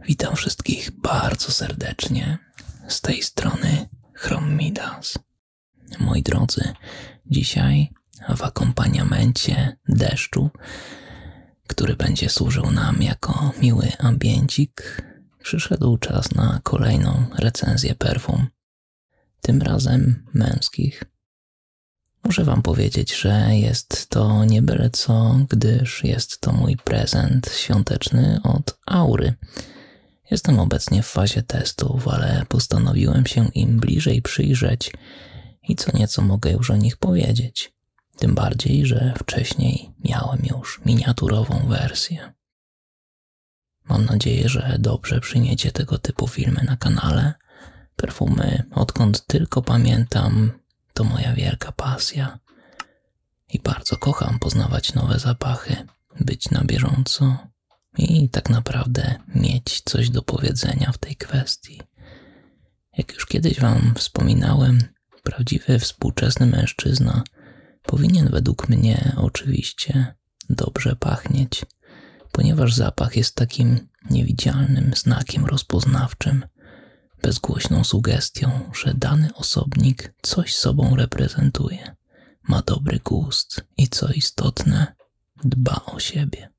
Witam wszystkich bardzo serdecznie. Z tej strony Chromidas. Moi drodzy, dzisiaj w akompaniamencie deszczu który będzie służył nam jako miły ambiencik, przyszedł czas na kolejną recenzję perfum. Tym razem męskich. Muszę Wam powiedzieć, że jest to nie byle co, gdyż jest to mój prezent świąteczny od Aury. Jestem obecnie w fazie testów, ale postanowiłem się im bliżej przyjrzeć i co nieco mogę już o nich powiedzieć. Tym bardziej, że wcześniej miałem już miniaturową wersję. Mam nadzieję, że dobrze przyjmiecie tego typu filmy na kanale. Perfumy, odkąd tylko pamiętam, to moja wielka pasja. I bardzo kocham poznawać nowe zapachy, być na bieżąco i tak naprawdę mieć coś do powiedzenia w tej kwestii. Jak już kiedyś Wam wspominałem, Prawdziwy współczesny mężczyzna powinien według mnie oczywiście dobrze pachnieć, ponieważ zapach jest takim niewidzialnym znakiem rozpoznawczym, bezgłośną sugestią, że dany osobnik coś sobą reprezentuje, ma dobry gust i co istotne, dba o siebie.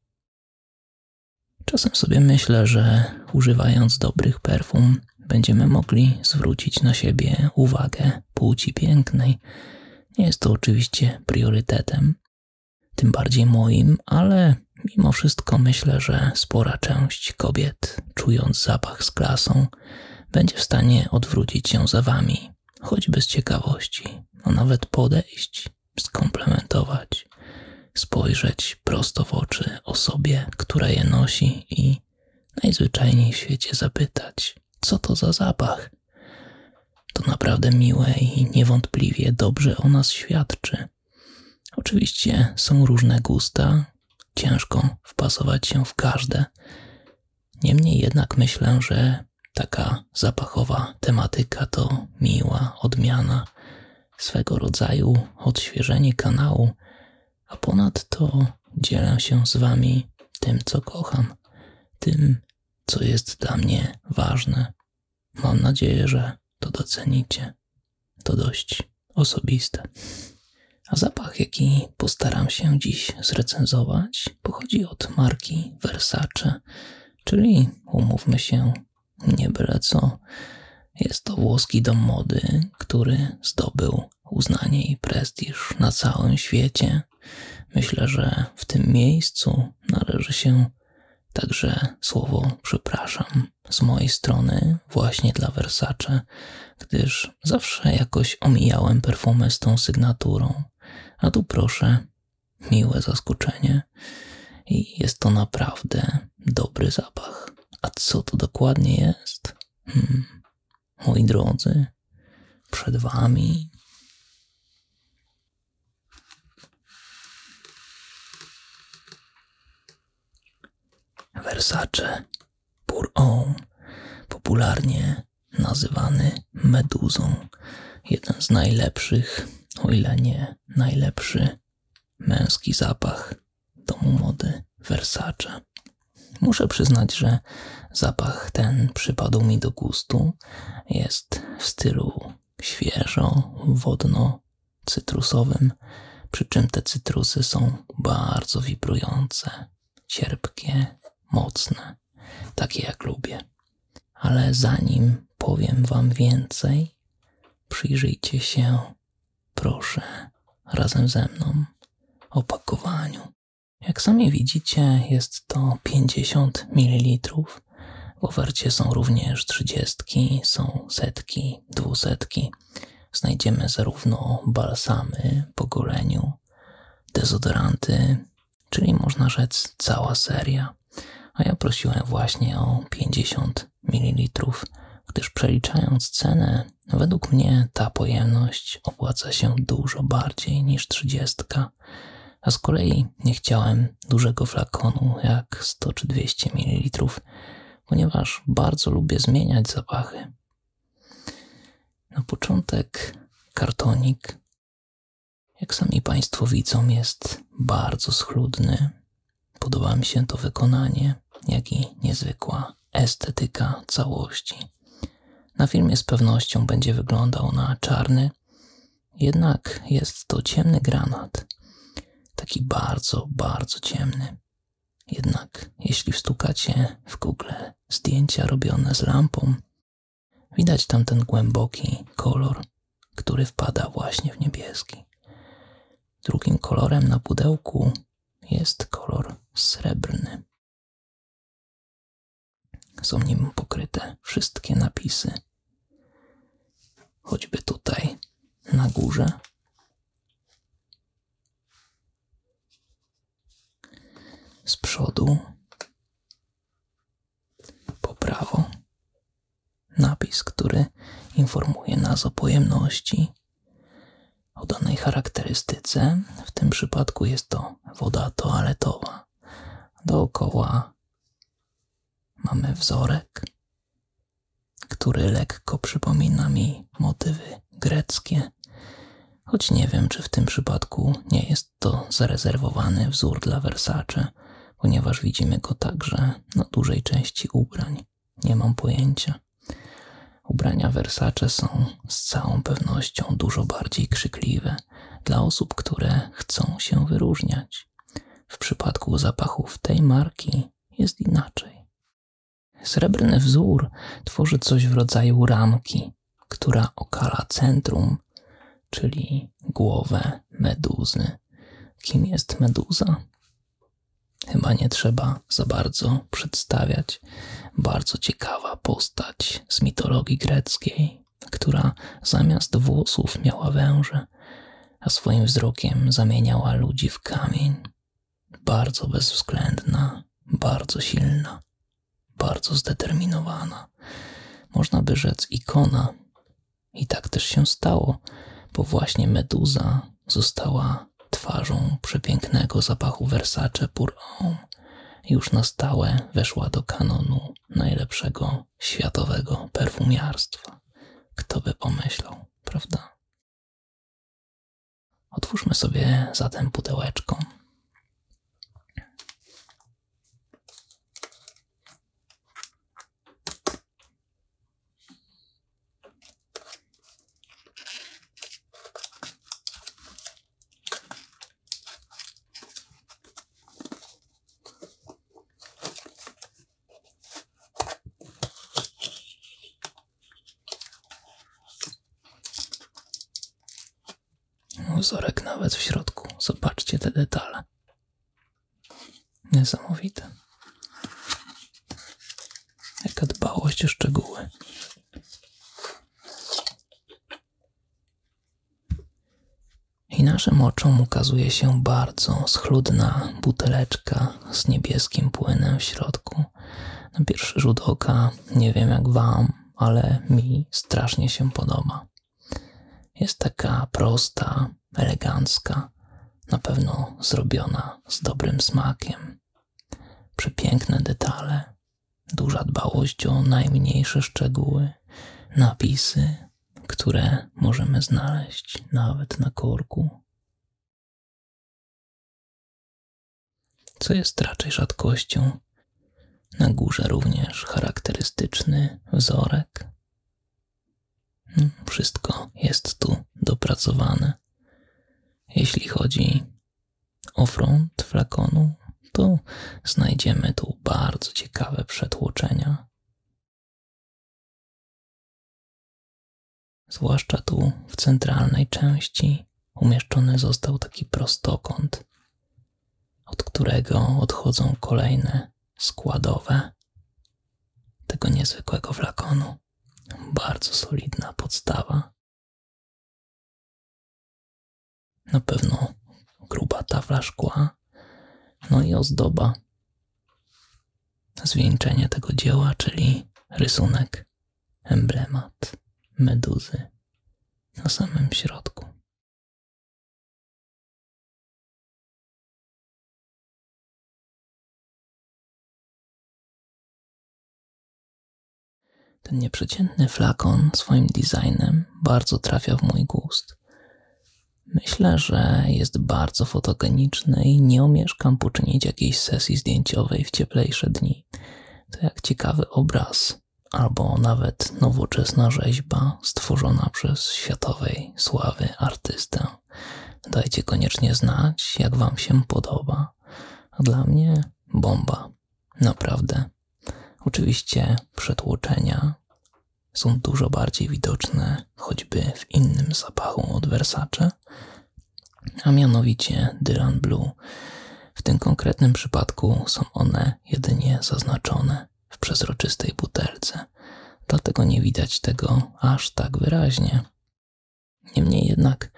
Czasem sobie myślę, że używając dobrych perfum, będziemy mogli zwrócić na siebie uwagę płci pięknej. Nie jest to oczywiście priorytetem, tym bardziej moim, ale mimo wszystko myślę, że spora część kobiet, czując zapach z klasą, będzie w stanie odwrócić się za wami, choćby z ciekawości, a nawet podejść, skomplementować, spojrzeć prosto w oczy osobie, która je nosi i najzwyczajniej w świecie zapytać, co to za zapach. To naprawdę miłe i niewątpliwie dobrze o nas świadczy. Oczywiście są różne gusta, ciężko wpasować się w każde. Niemniej jednak myślę, że taka zapachowa tematyka to miła odmiana, swego rodzaju odświeżenie kanału, a ponadto dzielę się z Wami tym, co kocham, tym, co jest dla mnie ważne. Mam nadzieję, że to docenicie. To dość osobiste. A zapach, jaki postaram się dziś zrecenzować, pochodzi od marki Versace, czyli umówmy się, nie byle co. Jest to włoski dom mody, który zdobył uznanie i prestiż na całym świecie. Myślę, że w tym miejscu należy się także słowo przepraszam z mojej strony właśnie dla Versace, gdyż zawsze jakoś omijałem perfumę z tą sygnaturą. A tu proszę, miłe zaskoczenie i jest to naprawdę dobry zapach. A co to dokładnie jest? Hmm. Moi drodzy, przed Wami Versace Pour-Homme, popularnie nazywany Meduzą, jeden z najlepszych, o ile nie najlepszy, męski zapach domu mody Versace. Muszę przyznać, że zapach ten przypadł mi do gustu. Jest w stylu świeżo, wodno-cytrusowym, przy czym te cytrusy są bardzo wibrujące, cierpkie, mocne, takie jak lubię. Ale zanim powiem Wam więcej, przyjrzyjcie się Proszę, razem ze mną, o pakowaniu. Jak sami widzicie, jest to 50 ml. W ofercie są również 30, są setki, dwusetki. Znajdziemy zarówno balsamy po goleniu, dezodoranty, czyli można rzec cała seria. A ja prosiłem właśnie o 50 ml, gdyż przeliczając cenę Według mnie ta pojemność opłaca się dużo bardziej niż 30, a z kolei nie chciałem dużego flakonu jak 100 czy 200 ml, ponieważ bardzo lubię zmieniać zapachy. Na początek kartonik. Jak sami Państwo widzą, jest bardzo schludny. Podoba mi się to wykonanie, jak i niezwykła estetyka całości. Na filmie z pewnością będzie wyglądał na czarny, jednak jest to ciemny granat. Taki bardzo, bardzo ciemny. Jednak jeśli wstukacie w Google zdjęcia robione z lampą, widać tam ten głęboki kolor, który wpada właśnie w niebieski. Drugim kolorem na pudełku jest kolor srebrny. Są nim pokryte wszystkie napisy. Choćby tutaj, na górze. Z przodu, po prawo, napis, który informuje nas o pojemności o danej charakterystyce, w tym przypadku jest to woda toaletowa. Dookoła mamy wzorek, który lekko przypomina mi motywy greckie, choć nie wiem, czy w tym przypadku nie jest to zarezerwowany wzór dla Versace, ponieważ widzimy go także na dużej części ubrań. Nie mam pojęcia. Ubrania Versace są z całą pewnością dużo bardziej krzykliwe dla osób, które chcą się wyróżniać. W przypadku zapachów tej marki jest inaczej. Srebrny wzór tworzy coś w rodzaju ramki, która okala centrum, czyli głowę meduzy. Kim jest meduza? Chyba nie trzeba za bardzo przedstawiać. Bardzo ciekawa postać z mitologii greckiej, która zamiast włosów miała węże, a swoim wzrokiem zamieniała ludzi w kamień. Bardzo bezwzględna, bardzo silna, bardzo zdeterminowana. Można by rzec ikona. I tak też się stało, bo właśnie Meduza została twarzą przepięknego zapachu Versace Pour Homme. Już na stałe weszła do kanonu najlepszego światowego perfumiarstwa. Kto by pomyślał, prawda? Otwórzmy sobie zatem pudełeczko. Uzorek nawet w środku. Zobaczcie te detale. Niesamowite. Jaka dbałość o szczegóły. I naszym oczom ukazuje się bardzo schludna buteleczka z niebieskim płynem w środku. Na pierwszy rzut oka, nie wiem jak Wam, ale mi strasznie się podoba. Jest taka prosta, elegancka, na pewno zrobiona z dobrym smakiem. Przepiękne detale, duża dbałość o najmniejsze szczegóły, napisy, które możemy znaleźć nawet na korku. Co jest raczej rzadkością, na górze również charakterystyczny wzorek. Hmm, wszystko jest tu dopracowane. Jeśli chodzi ofront flakonu, to znajdziemy tu bardzo ciekawe przetłoczenia. Zwłaszcza tu w centralnej części umieszczony został taki prostokąt, od którego odchodzą kolejne składowe tego niezwykłego flakonu. Bardzo solidna podstawa. Na pewno gruba tafla szkła, no i ozdoba. Zwieńczenie tego dzieła, czyli rysunek, emblemat meduzy na samym środku. Ten nieprzeciętny flakon swoim designem bardzo trafia w mój gust. Myślę, że jest bardzo fotogeniczny i nie omieszkam poczynić jakiejś sesji zdjęciowej w cieplejsze dni. To jak ciekawy obraz, albo nawet nowoczesna rzeźba stworzona przez światowej sławy artystę. Dajcie koniecznie znać, jak Wam się podoba. dla mnie bomba. Naprawdę. Oczywiście przetłoczenia są dużo bardziej widoczne choćby w innym zapachu od Versace, a mianowicie Dylan Blue. W tym konkretnym przypadku są one jedynie zaznaczone w przezroczystej butelce, dlatego nie widać tego aż tak wyraźnie. Niemniej jednak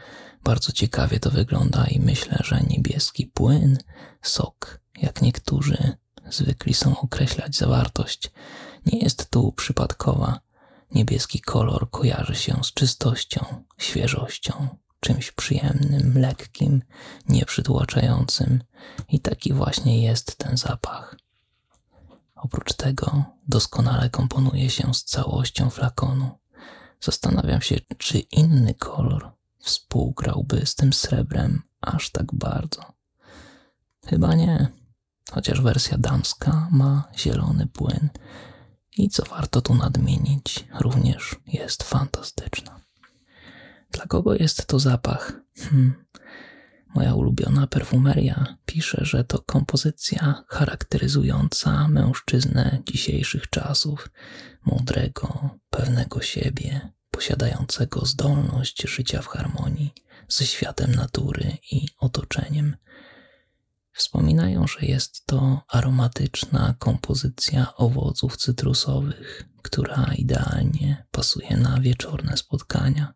bardzo ciekawie to wygląda i myślę, że niebieski płyn, sok, jak niektórzy zwykli są określać zawartość, nie jest tu przypadkowa. Niebieski kolor kojarzy się z czystością, świeżością, czymś przyjemnym, lekkim, nieprzytłaczającym i taki właśnie jest ten zapach. Oprócz tego doskonale komponuje się z całością flakonu zastanawiam się, czy inny kolor współgrałby z tym srebrem aż tak bardzo. Chyba nie, chociaż wersja damska ma zielony płyn i co warto tu nadmienić, również jest fantastyczna. Dla kogo jest to zapach? Hmm. Moja ulubiona perfumeria pisze, że to kompozycja charakteryzująca mężczyznę dzisiejszych czasów, mądrego, pewnego siebie, posiadającego zdolność życia w harmonii ze światem natury i otoczeniem. Wspominają, że jest to aromatyczna kompozycja owoców cytrusowych, która idealnie pasuje na wieczorne spotkania.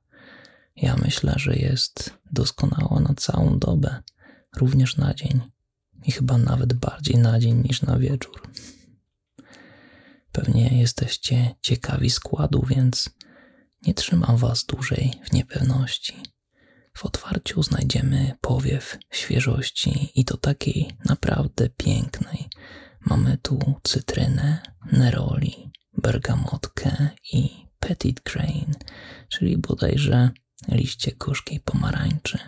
Ja myślę, że jest doskonała na całą dobę, również na dzień, i chyba nawet bardziej na dzień niż na wieczór. Pewnie jesteście ciekawi składu, więc nie trzymam Was dłużej w niepewności. W otwarciu znajdziemy powiew świeżości i to takiej naprawdę pięknej. Mamy tu cytrynę, neroli, bergamotkę i petit grain, czyli bodajże liście gorzkiej pomarańczy.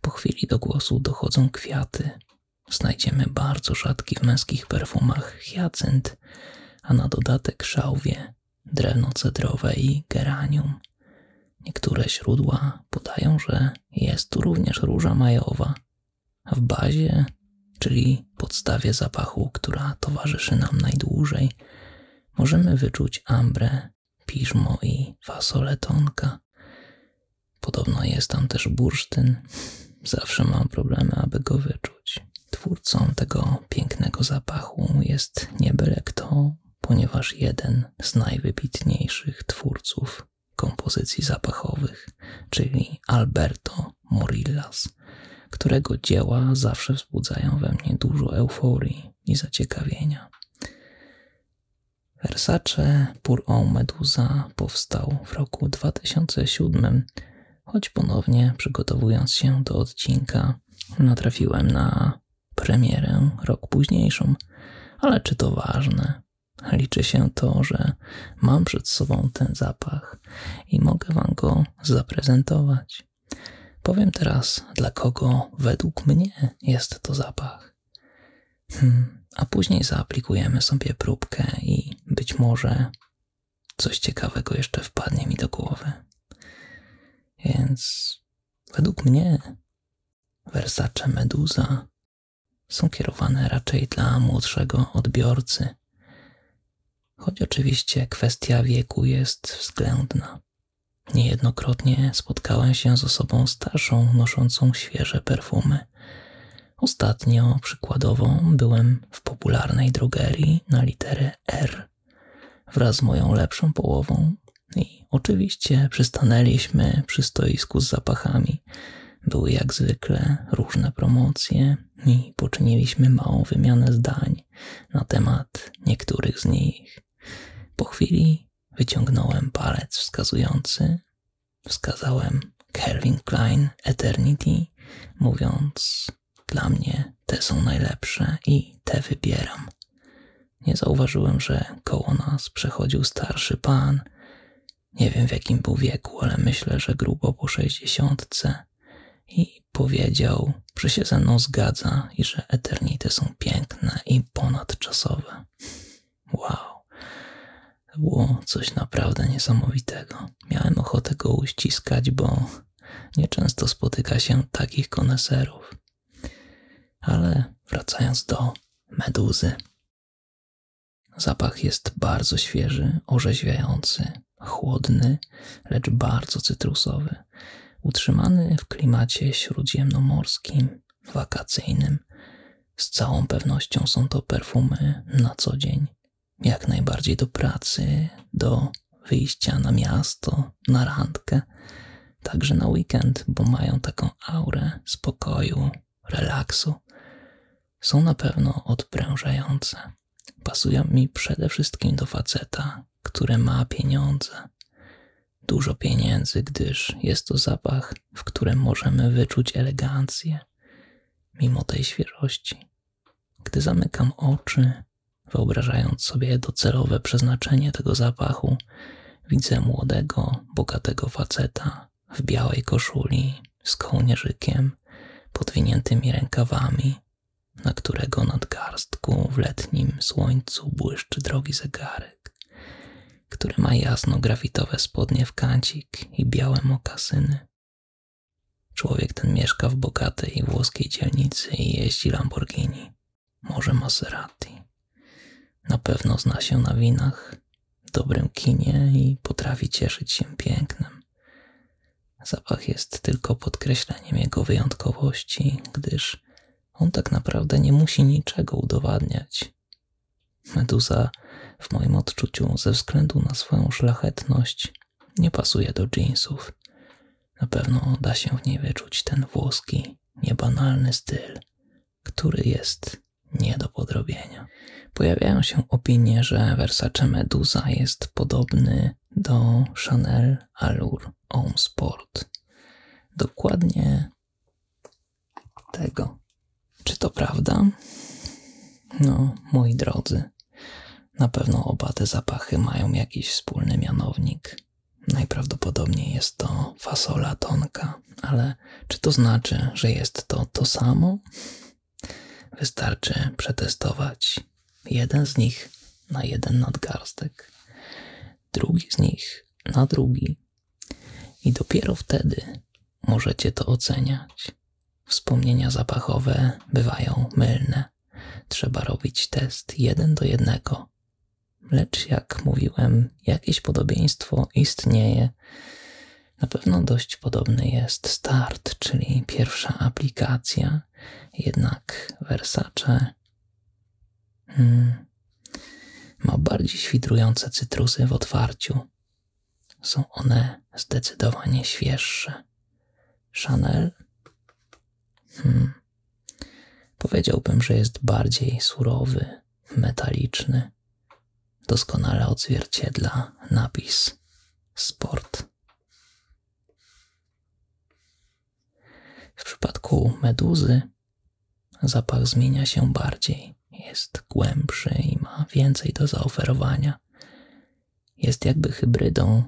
Po chwili do głosu dochodzą kwiaty. Znajdziemy bardzo rzadki w męskich perfumach hiacynt, a na dodatek szałwie, drewno cedrowe i geranium. Niektóre źródła podają, że jest tu również róża majowa, a w bazie, czyli podstawie zapachu, która towarzyszy nam najdłużej, możemy wyczuć ambrę piżmo i fasoletonka. Podobno jest tam też bursztyn. Zawsze mam problemy, aby go wyczuć. Twórcą tego pięknego zapachu jest nie byle kto, ponieważ jeden z najwybitniejszych twórców kompozycji zapachowych, czyli Alberto Morillas, którego dzieła zawsze wzbudzają we mnie dużo euforii i zaciekawienia. Versace Pur o Medusa powstał w roku 2007, choć ponownie przygotowując się do odcinka natrafiłem na premierę rok późniejszą, ale czy to ważne? Liczy się to, że mam przed sobą ten zapach i mogę Wam go zaprezentować. Powiem teraz, dla kogo według mnie jest to zapach. Hmm, a później zaaplikujemy sobie próbkę i być może coś ciekawego jeszcze wpadnie mi do głowy. Więc według mnie wersacze Meduza są kierowane raczej dla młodszego odbiorcy, choć oczywiście kwestia wieku jest względna. Niejednokrotnie spotkałem się z osobą starszą noszącą świeże perfumy. Ostatnio, przykładowo, byłem w popularnej drogerii na literę R wraz z moją lepszą połową i oczywiście przystanęliśmy przy stoisku z zapachami. Były jak zwykle różne promocje i poczyniliśmy małą wymianę zdań na temat niektórych z nich. Po chwili Wyciągnąłem palec wskazujący, wskazałem Calvin Klein Eternity, mówiąc: Dla mnie te są najlepsze i te wybieram. Nie zauważyłem, że koło nas przechodził starszy pan. Nie wiem w jakim był wieku, ale myślę, że grubo po sześćdziesiątce. I powiedział, że się ze mną zgadza i że eternity są piękne i ponadczasowe. Wow. było coś naprawdę niesamowitego. Miałem ochotę go uściskać, bo nieczęsto spotyka się takich koneserów. Ale wracając do meduzy. Zapach jest bardzo świeży, orzeźwiający, chłodny, lecz bardzo cytrusowy, utrzymany w klimacie śródziemnomorskim wakacyjnym. Z całą pewnością są to perfumy na co dzień, jak najbardziej do pracy, do wyjścia na miasto, na randkę, także na weekend, bo mają taką aurę spokoju, relaksu. Są na pewno odprężające. Pasują mi przede wszystkim do faceta, który ma pieniądze dużo pieniędzy, gdyż jest to zapach, w którym możemy wyczuć elegancję, mimo tej świeżości. Gdy zamykam oczy, wyobrażając sobie docelowe przeznaczenie tego zapachu, widzę młodego, bogatego faceta w białej koszuli z kołnierzykiem, podwiniętymi rękawami, na którego nadgarstku w letnim słońcu błyszczy drogi zegarek który ma jasno-grafitowe spodnie w kancik i białe mokasyny. Człowiek ten mieszka w bogatej włoskiej dzielnicy i jeździ Lamborghini, może Maserati. Na pewno zna się na winach, dobrym kinie i potrafi cieszyć się pięknem. Zapach jest tylko podkreśleniem jego wyjątkowości, gdyż on tak naprawdę nie musi niczego udowadniać. Meduza, w moim odczuciu, ze względu na swoją szlachetność, nie pasuje do jeansów. Na pewno da się w niej wyczuć ten włoski, niebanalny styl, który jest nie do podrobienia. Pojawiają się opinie, że Versace Meduza jest podobny do Chanel Allure Home Sport. Dokładnie tego. Czy to prawda? No, moi drodzy, na pewno oba te zapachy mają jakiś wspólny mianownik. Najprawdopodobniej jest to fasola tonka, ale czy to znaczy, że jest to to samo? Wystarczy przetestować jeden z nich na jeden nadgarstek, drugi z nich na drugi, i dopiero wtedy możecie to oceniać. Wspomnienia zapachowe bywają mylne. Trzeba robić test jeden do jednego. Lecz jak mówiłem, jakieś podobieństwo istnieje. Na pewno dość podobny jest start, czyli pierwsza aplikacja, jednak Versace. Hmm, ma bardziej świdrujące cytrusy w otwarciu. Są one zdecydowanie świeższe. Chanel? Hmm. Powiedziałbym, że jest bardziej surowy, metaliczny. Doskonale odzwierciedla napis sport. W przypadku meduzy Zapach zmienia się bardziej, jest głębszy i ma więcej do zaoferowania. Jest jakby hybrydą.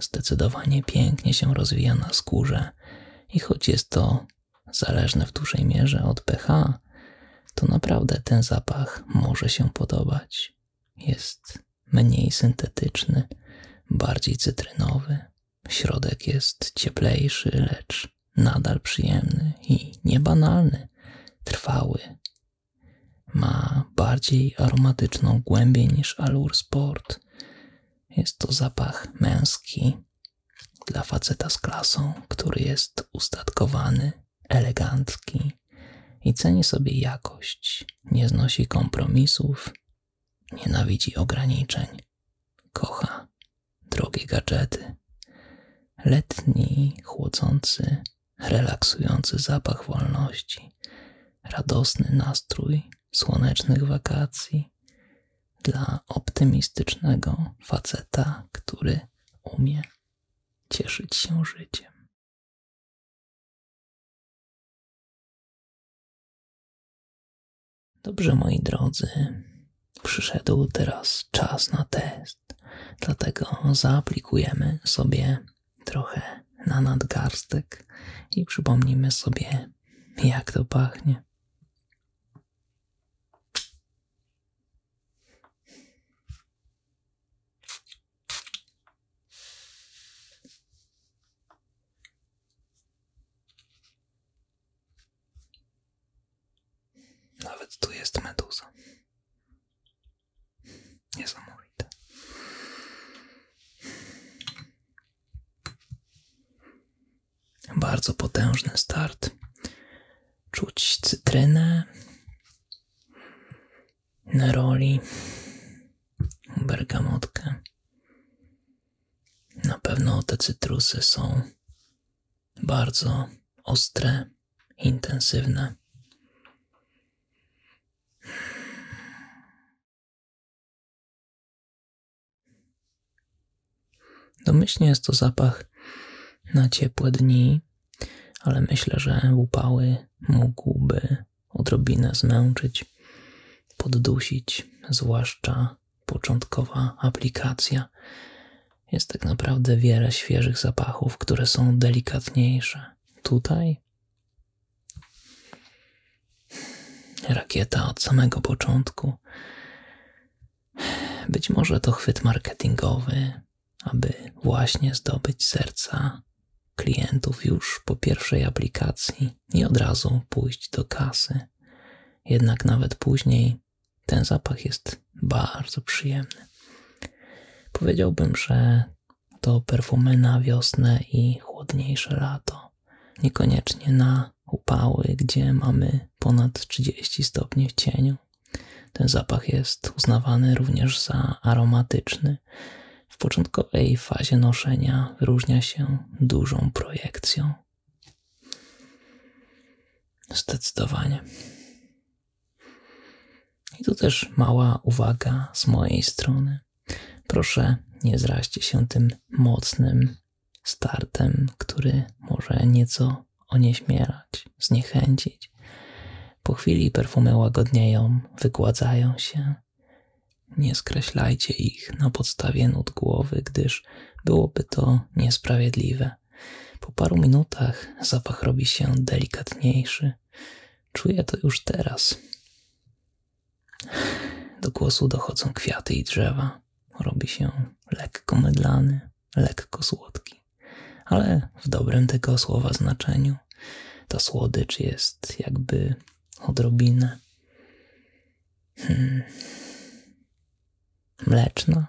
Zdecydowanie pięknie się rozwija na skórze i choć jest to zależne w dużej mierze od pH, to naprawdę ten zapach może się podobać. Jest mniej syntetyczny, bardziej cytrynowy, Środek jest cieplejszy, lecz nadal przyjemny i niebanalny, trwały. Ma bardziej aromatyczną głębię niż Alur Sport. Jest to zapach męski dla faceta z klasą, który jest ustatkowany, elegancki i ceni sobie jakość, nie znosi kompromisów, nienawidzi ograniczeń. Kocha drogie gadżety. Letni, chłodzący, relaksujący zapach wolności, radosny nastrój słonecznych wakacji dla optymistycznego faceta, który umie cieszyć się życiem. Dobrze, moi drodzy, przyszedł teraz czas na test, dlatego zaaplikujemy sobie trochę na nadgarstek i przypomnimy sobie, jak to pachnie. Nawet tu jest meduza. Niesamowite. Bardzo potężny start. Czuć cytrynę, neroli, bergamotkę. Na pewno te cytrusy są bardzo ostre, intensywne. Domyślnie jest to zapach na ciepłe dni, ale myślę, że upały mógłby odrobinę zmęczyć, poddusić, zwłaszcza początkowa aplikacja. Jest tak naprawdę wiele świeżych zapachów, które są delikatniejsze. Tutaj rakieta od samego początku. Być może to chwyt marketingowy, aby właśnie zdobyć serca klientów już po pierwszej aplikacji i od razu pójść do kasy. Jednak nawet później ten zapach jest bardzo przyjemny. Powiedziałbym, że to perfumy na wiosnę i chłodniejsze lato. Niekoniecznie na upały, gdzie mamy ponad 30 stopni w cieniu. Ten zapach jest uznawany również za aromatyczny. W początkowej fazie noszenia wyróżnia się dużą projekcją. Zdecydowanie. I tu też mała uwaga z mojej strony. Proszę, nie zraźcie się tym mocnym startem, który może nieco onieśmierać, zniechęcić. Po chwili perfumy łagodnieją, wygładzają się. Nie skreślajcie ich na podstawie nut głowy, gdyż byłoby to niesprawiedliwe. Po paru minutach zapach robi się delikatniejszy. Czuję to już teraz. Do głosu dochodzą kwiaty i drzewa. Robi się lekko mydlany, lekko słodki, ale w dobrym tego słowa znaczeniu. To słodycz jest jakby odrobinę. Hmm mleczna.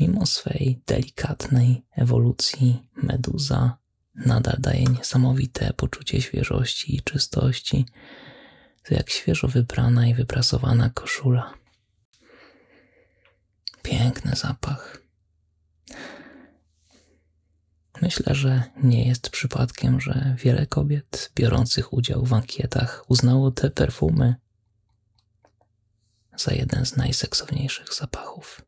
Mimo swej delikatnej ewolucji, meduza nadal daje niesamowite poczucie świeżości i czystości, jak świeżo wybrana i wyprasowana koszula. Piękny zapach. Myślę, że nie jest przypadkiem, że wiele kobiet biorących udział w ankietach uznało te perfumy za jeden z najseksowniejszych zapachów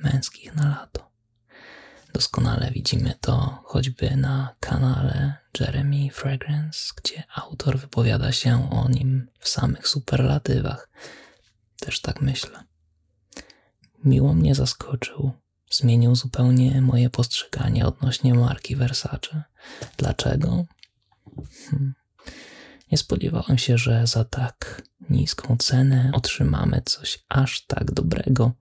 męskich na lato. Doskonale widzimy to choćby na kanale Jeremy Fragrance, gdzie autor wypowiada się o nim w samych superlatywach. Też tak myślę. Miło mnie zaskoczył. Zmienił zupełnie moje postrzeganie odnośnie marki Versace. Dlaczego? Hmm. Nie spodziewałem się, że za tak niską cenę otrzymamy coś aż tak dobrego.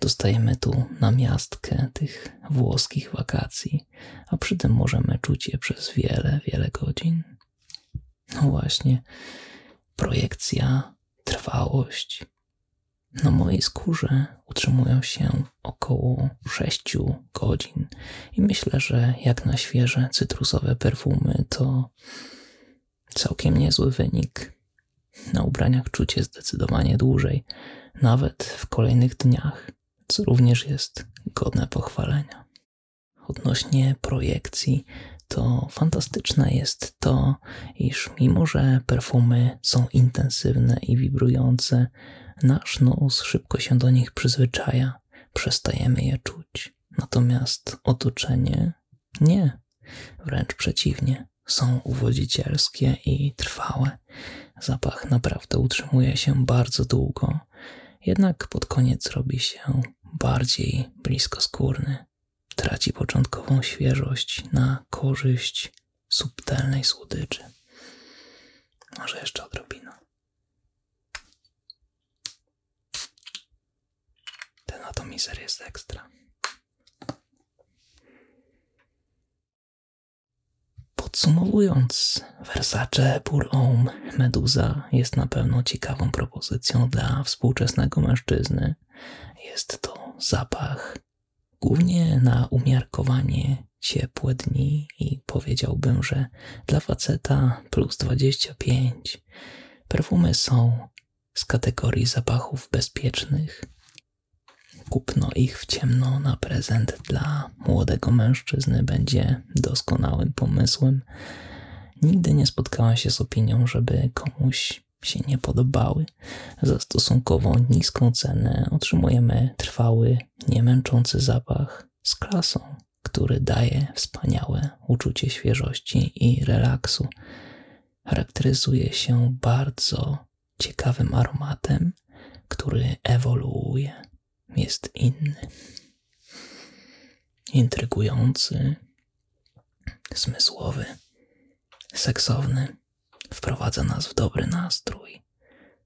Dostajemy tu na miastkę tych włoskich wakacji, a przy tym możemy czuć je przez wiele, wiele godzin. No właśnie, projekcja, trwałość. Na mojej skórze utrzymują się około 6 godzin. I myślę, że jak na świeże cytrusowe perfumy to całkiem niezły wynik. Na ubraniach czucie zdecydowanie dłużej, nawet w kolejnych dniach, co również jest godne pochwalenia. Odnośnie projekcji, to fantastyczne jest to, iż mimo że perfumy są intensywne i wibrujące, nasz nos szybko się do nich przyzwyczaja, przestajemy je czuć. Natomiast otoczenie nie, wręcz przeciwnie, są uwodzicielskie i trwałe. Zapach naprawdę utrzymuje się bardzo długo, jednak pod koniec robi się bardziej blisko skórny, Traci początkową świeżość na korzyść subtelnej słodyczy. Może jeszcze odrobinę. Ten atomizer jest ekstra. Podsumowując, Versace Pur Homme Meduza jest na pewno ciekawą propozycją dla współczesnego mężczyzny. Jest to zapach głównie na umiarkowanie ciepłe dni i powiedziałbym, że dla faceta plus 25 perfumy są z kategorii zapachów bezpiecznych. Kupno ich w ciemno na prezent dla młodego mężczyzny będzie doskonałym pomysłem. Nigdy nie spotkałam się z opinią, żeby komuś się nie podobały. Za stosunkowo niską cenę otrzymujemy trwały niemęczący zapach z klasą, który daje wspaniałe uczucie świeżości i relaksu. Charakteryzuje się bardzo ciekawym aromatem, który ewoluuje, jest inny, intrygujący, zmysłowy, seksowny, wprowadza nas w dobry nastrój.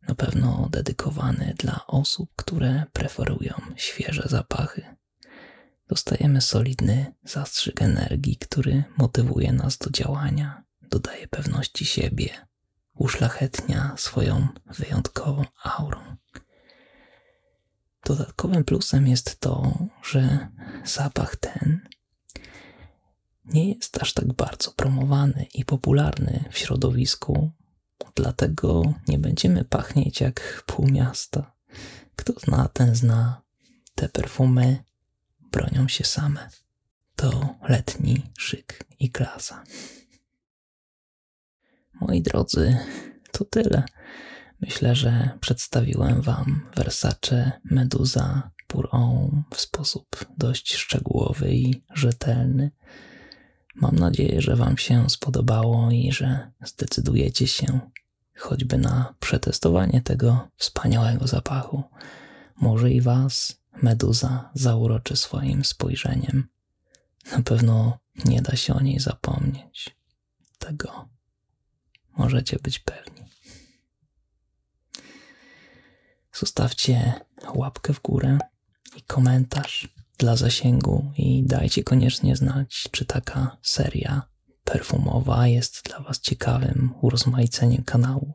Na pewno dedykowany dla osób, które preferują świeże zapachy. Dostajemy solidny zastrzyk energii, który motywuje nas do działania, dodaje pewności siebie, uszlachetnia swoją wyjątkową aurą. Dodatkowym plusem jest to, że zapach ten nie jest aż tak bardzo promowany i popularny w środowisku, Dlatego nie będziemy pachnieć jak pół miasta. Kto zna, ten zna. Te perfumy bronią się same. To letni szyk i klasa. Moi drodzy, to tyle. Myślę, że przedstawiłem Wam Versace, Medusa, Puron w sposób dość szczegółowy i rzetelny. Mam nadzieję, że Wam się spodobało i że zdecydujecie się choćby na przetestowanie tego wspaniałego zapachu. Może i Was meduza zauroczy swoim spojrzeniem. Na pewno nie da się o niej zapomnieć. Tego możecie być pewni. Zostawcie łapkę w górę i komentarz dla zasięgu i dajcie koniecznie znać, czy taka seria perfumowa jest dla Was ciekawym urozmaiceniem kanału.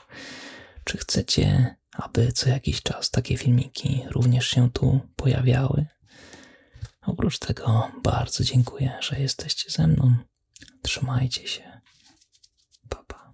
Czy chcecie, aby co jakiś czas takie filmiki również się tu pojawiały? Oprócz tego bardzo dziękuję, że jesteście ze mną. Trzymajcie się. Pa,